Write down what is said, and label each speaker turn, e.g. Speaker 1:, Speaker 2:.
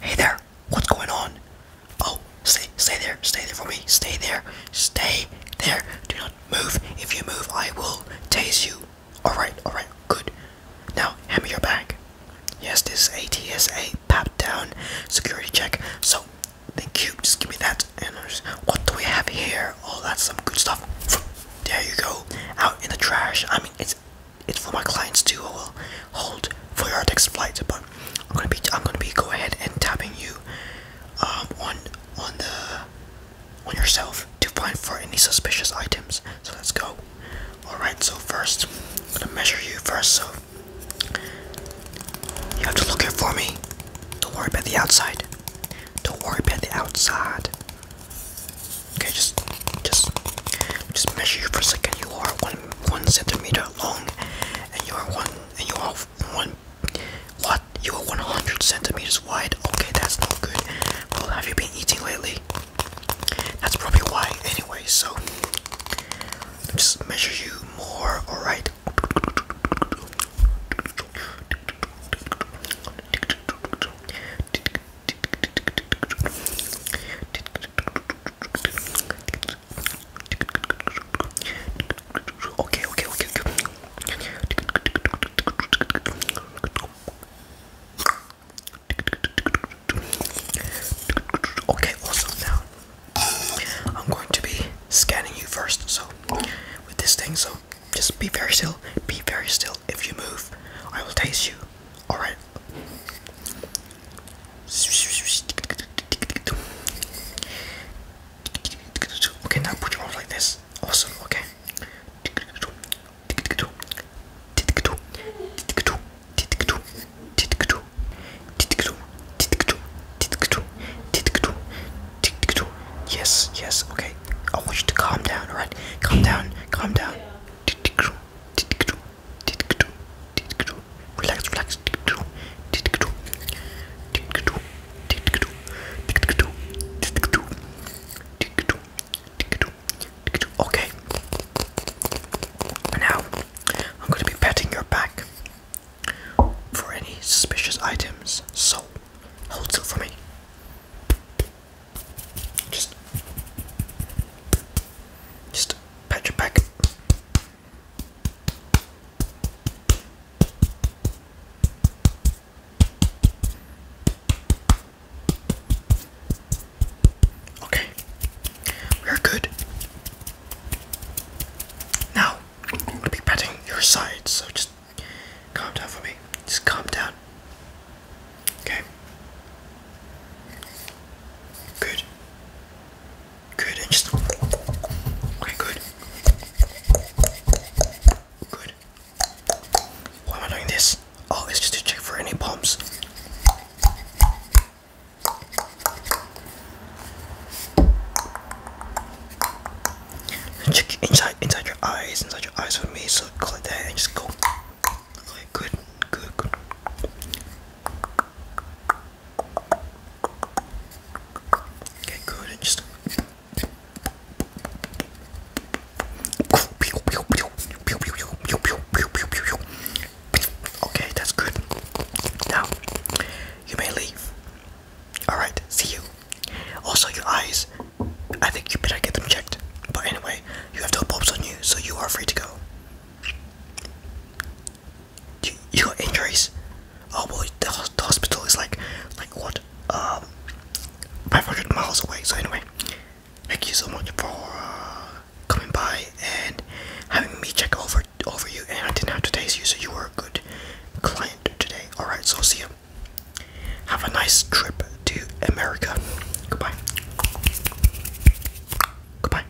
Speaker 1: Hey there, what's going on? Oh, stay, stay there, stay there for me, stay there, stay there. Do not move. If you move, I will tase you. All right, all right, good. Now hand me your bag. Yes, this ATSA pap down security check. So, thank you. Just give me that. And what do we have here? Oh, that's some good stuff there you go out in the trash i mean it's it's for my clients too hold for your next flight but i'm gonna be i'm gonna be go ahead and tapping you um on on the on yourself to find for any suspicious items so let's go all right so first i'm gonna measure you first so you have to look here for me don't worry about the outside don't worry about the outside. Okay, just just just measure you for a second. You are one one centimeter long and you are one and you are one what? You are one hundred centimeters wide. Okay, that's not good. Well have you been eating lately? That's probably why anyway, so just measure you more, alright? Okay, okay, okay, okay. Okay, awesome now. I'm going to be scanning you first, so with this thing, so just be very still, be very still. If you move, I will taste you. Alright. Okay, now put your arms like this. Awesome, okay. Yes, yes, okay. I want you to calm down, alright? Calm down, calm down. Relax, relax. Okay. Now, I'm going to be patting your back for any suspicious items. So, hold still for me. Just, just pat your back. Okay, we're good. Now, I'm be patting your side, so just calm down for me. Just calm down. Okay. Good. Good, and just. Okay, good. Good. Why am I doing this? Oh, it's just to check for any bombs. Check inside, inside your eyes, inside your eyes for me. So click that and just go. Okay, good, good, good. Okay, good, and just Okay, that's good. Now, you may leave. Alright, see you. Also, your eyes, I think you better get them checked. But anyway, you have no bulbs on you, so you are free to go. You, got injuries? Oh boy, the, hospital is like, like what, um, 500 miles away. So anyway, thank you so much for uh, coming by and having me check over over you. And I didn't have to taste you, so you were a good client today. All right, so see you. Have a nice trip to America. Goodbye. Goodbye.